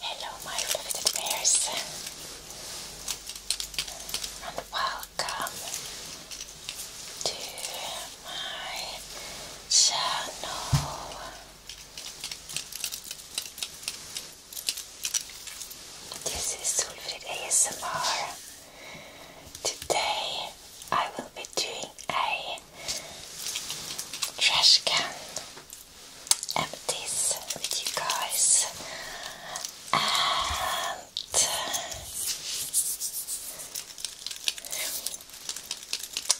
Hello, my fliveted bears, and welcome to my channel. This is Solfrid ASMR. Today I will be doing a trash can empties with you guys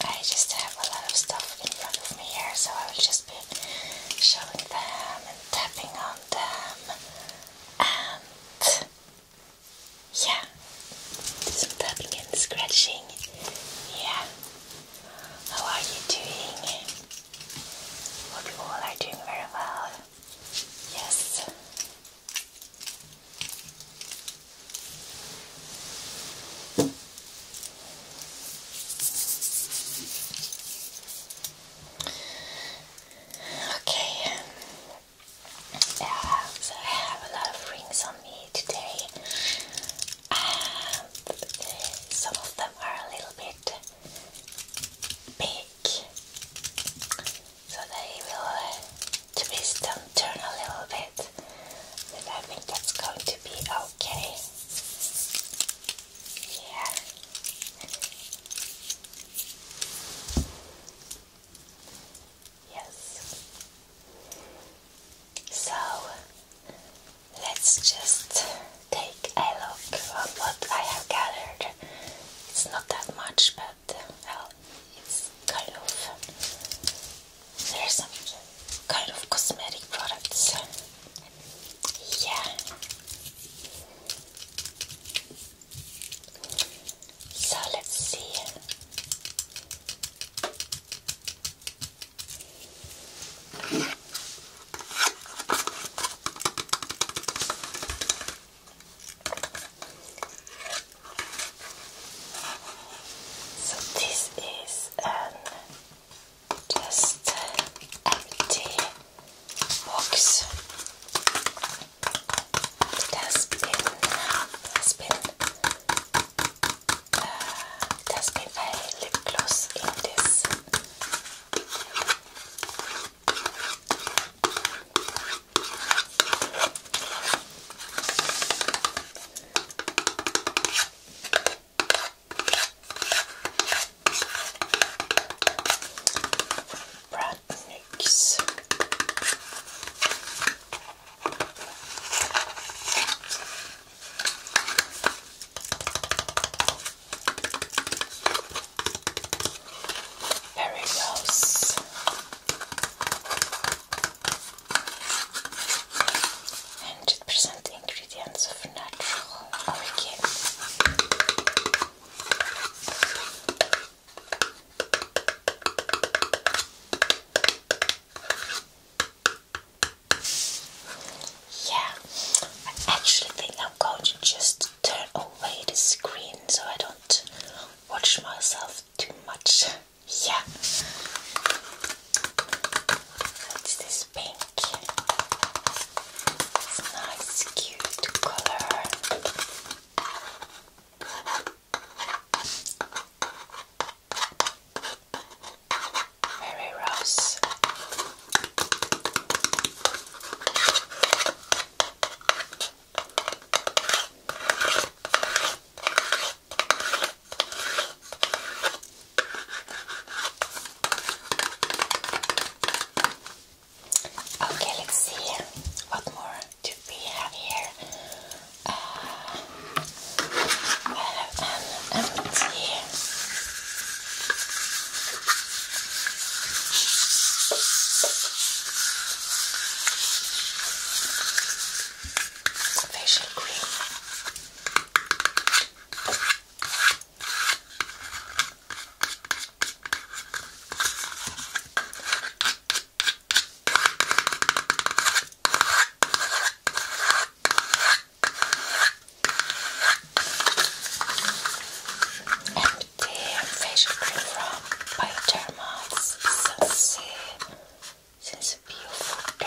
I just have a lot of stuff in front of me here so I will just be showing them and tapping on them and yeah, some tapping and scratching. Yeah, how are you doing? Hope you all are doing very well. Yes. Okay. Yeah, so I have a lot of rings on me today and some of them are a little bit big, so they will twist and turn a little bit. But I think that's going to be okay. Yeah. Yes. So let's just take a look on what I have gathered. It's not that much, but it's kind of there's some kind of cosmetic products. Yeah. So let's see. So this is um, just empty box. It has been has been uh, there's been a lip in this. Brand Nix. Very gross. Hundred percent ingredients of natural origin. Yeah, I actually think I'm going to just turn away the screen so I don't watch myself too much. Yeah. What's this pink? It's a nice, cute color. Mary Rose. Okay, let's see what more to be heavier uh, and empty. Facial cream. And the facial cream from Bioderma is since, since beautiful day.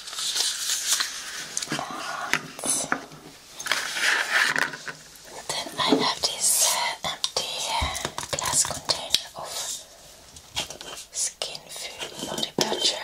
then I have this uh, empty uh, glass container of skin food body butter.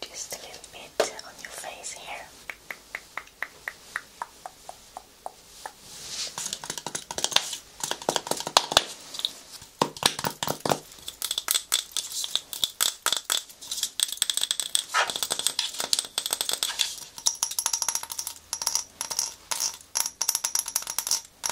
Just a little bit on your face here. And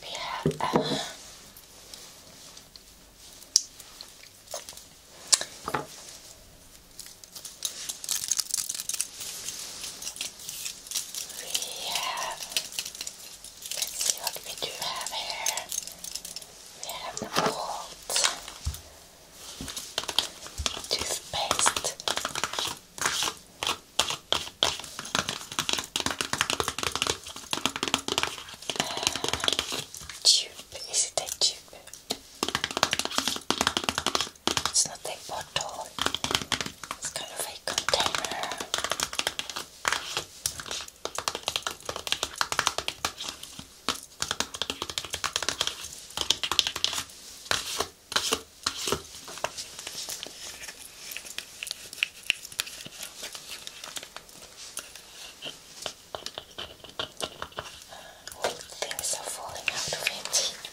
we have uh, we have, let's see what we do have here. We have the bolt, toothpaste, tube. Is it a tube? It's not a bottle, it's kind of a container. All things are falling out of it.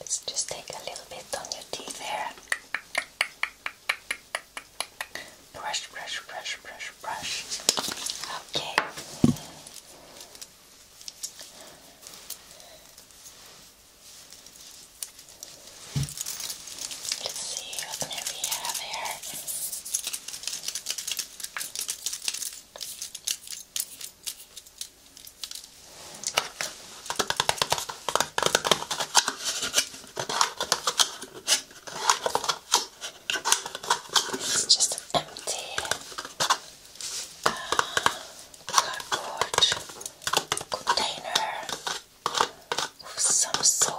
Let's just take a little bit on your teeth here. Brush, brush, brush, brush, brush. Okay. Let's see what may we have here. It's just empty cardboard container of some sort.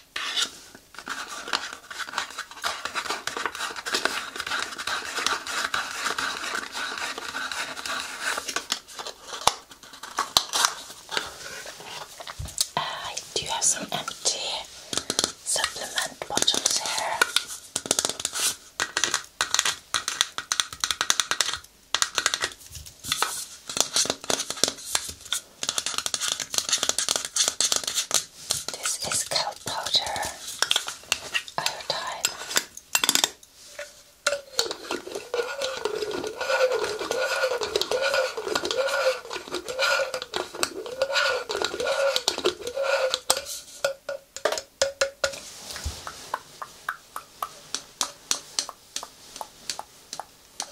Uh, I do have some empty supplement bottles here. This is cold powder iodine.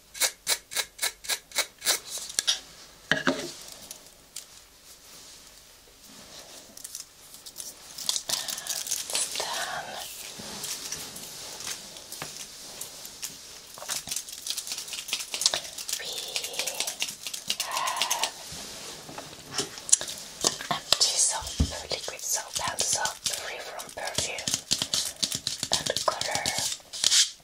empty soap, liquid soap and soap free from perfume and color.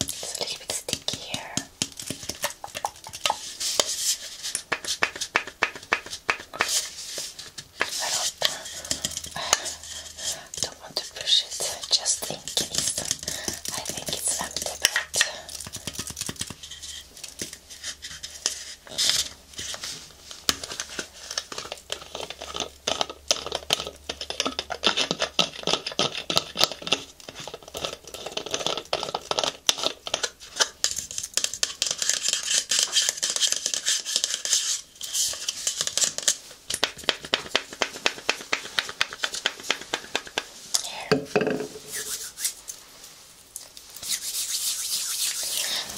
It's a little bit sticky here. I don't, uh, don't want to push it just in case. I think it's empty, a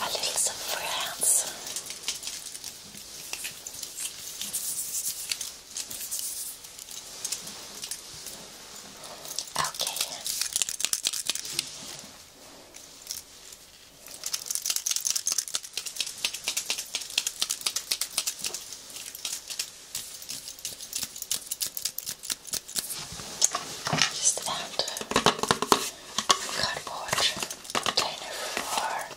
little some for your hands. Okay. Just add cardboard container for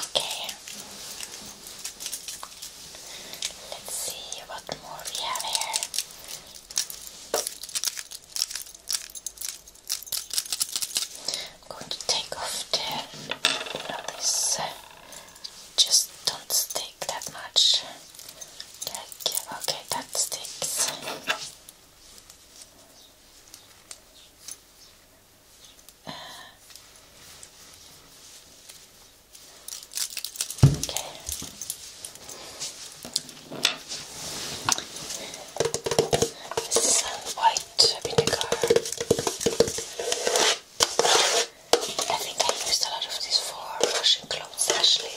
Okay. Let's see what more we have here. I'm going to take off this just don't stick that much. Like, okay, that sticks. Uh, okay. This white vinegar. I think I used a lot of these for Russian clothes actually.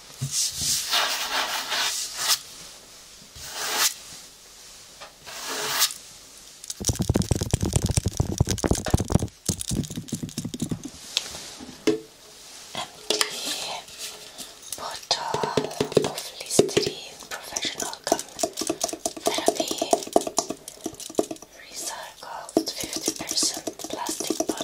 Empty bottle of Listerine Professional Gum recycled 50% plastic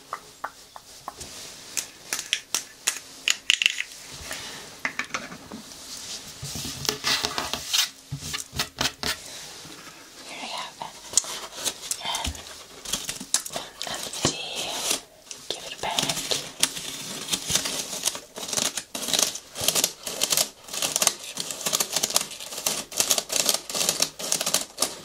Here I have an empty. Give it back.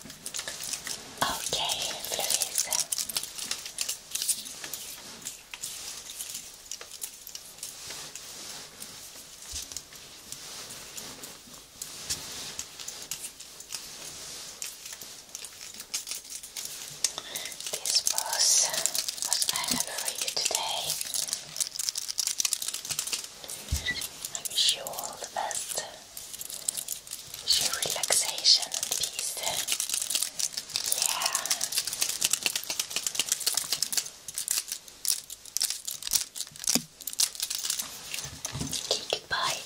Okay, Louisa. This was what I have for you today. I wish you all the best your relaxation and peace. Yeah. Okay, goodbye.